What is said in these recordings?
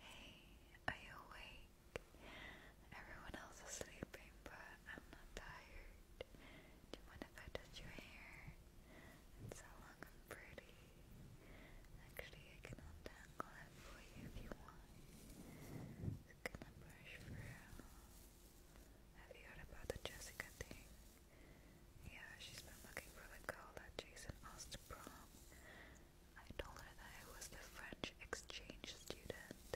Hey, are you awake? Everyone else is sleeping, but I'm not tired. Do you mind if I touch your hair? It's so long and pretty. Actually, I can untangle it for you if you want. Just gonna brush through. Have you heard about the Jessica thing? Yeah, she's been looking for the girl that Jason asked to prom mom. I told her that I was the French exchange student.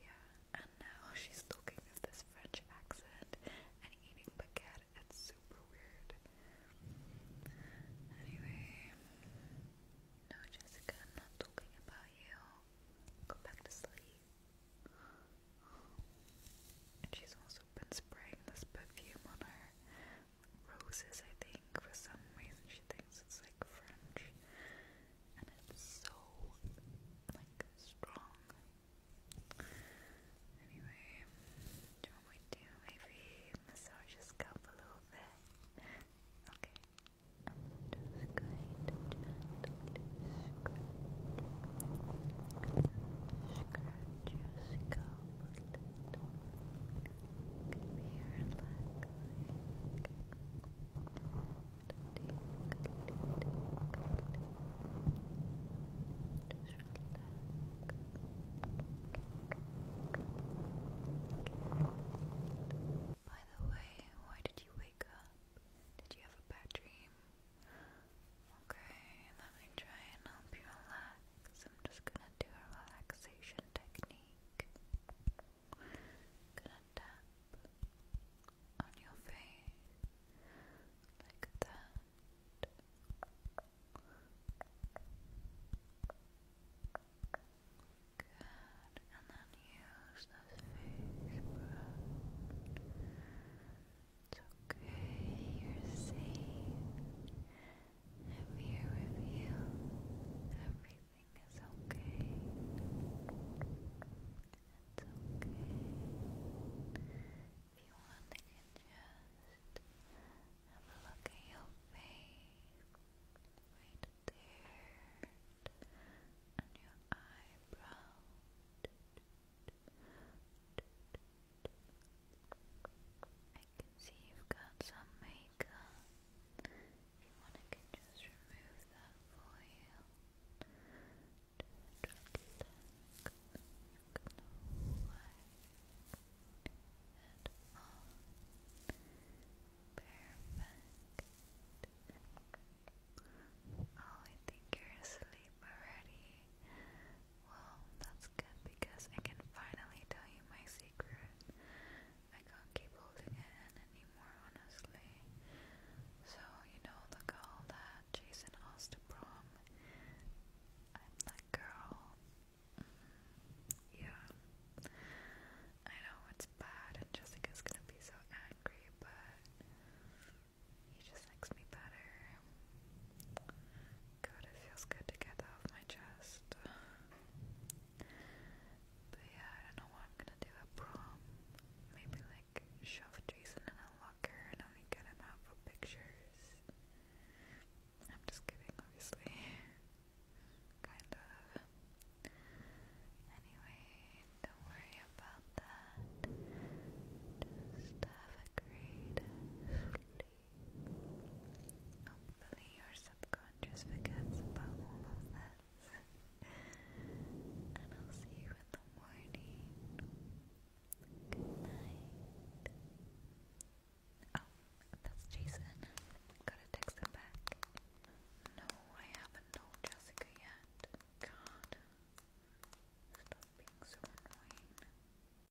Yeah, and now she's talking with this French accent and eating baguette. It's super weird. Anyway, no, Jessica, not talking about you. Go back to sleep. she's also been spraying this perfume on her roses, I think. For some reason, she thinks it's like French, and it's so like strong. Anyway, do you want me to maybe massage your scalp a little bit? Okay. Just go by the way, why did you wake up? Did you have a bad dream? Okay, let me try and help you relax relax. I'm just gonna do a relaxation technique. Gonna tap on your face like that. and then use this face brush. It's okay, you're safe. I'm here with you, everything is okay. It's okay. If you want, I can just have a look at your face, right there, and your eyebrow. I can see you've got some makeup. If you want, I can just remove that for you. Just relax. No at all. Perfect. Oh, I think you're already. Well, that's good because I can finally tell you my secret. I can't keep holding it in anymore, honestly. So, you know the girl that Jason asked to prom? I'm that girl. Mm, yeah. I know it's bad and Jessica's gonna be so angry, but he just likes me better. God, it feels good to get that off my chest. But yeah, I don't know what I'm gonna do at Maybe like shove Jason in a locker and only get him out for pictures. I'm just kidding, obviously. kind of. Anyway, don't worry about that. Just have a great body. Hopefully, your subconscious forgets about all of this. and I'll see you in the morning. Good night. Oh, that's Jason. Gotta text him back. No, I haven't told Jessica yet. God. Stop being so annoying.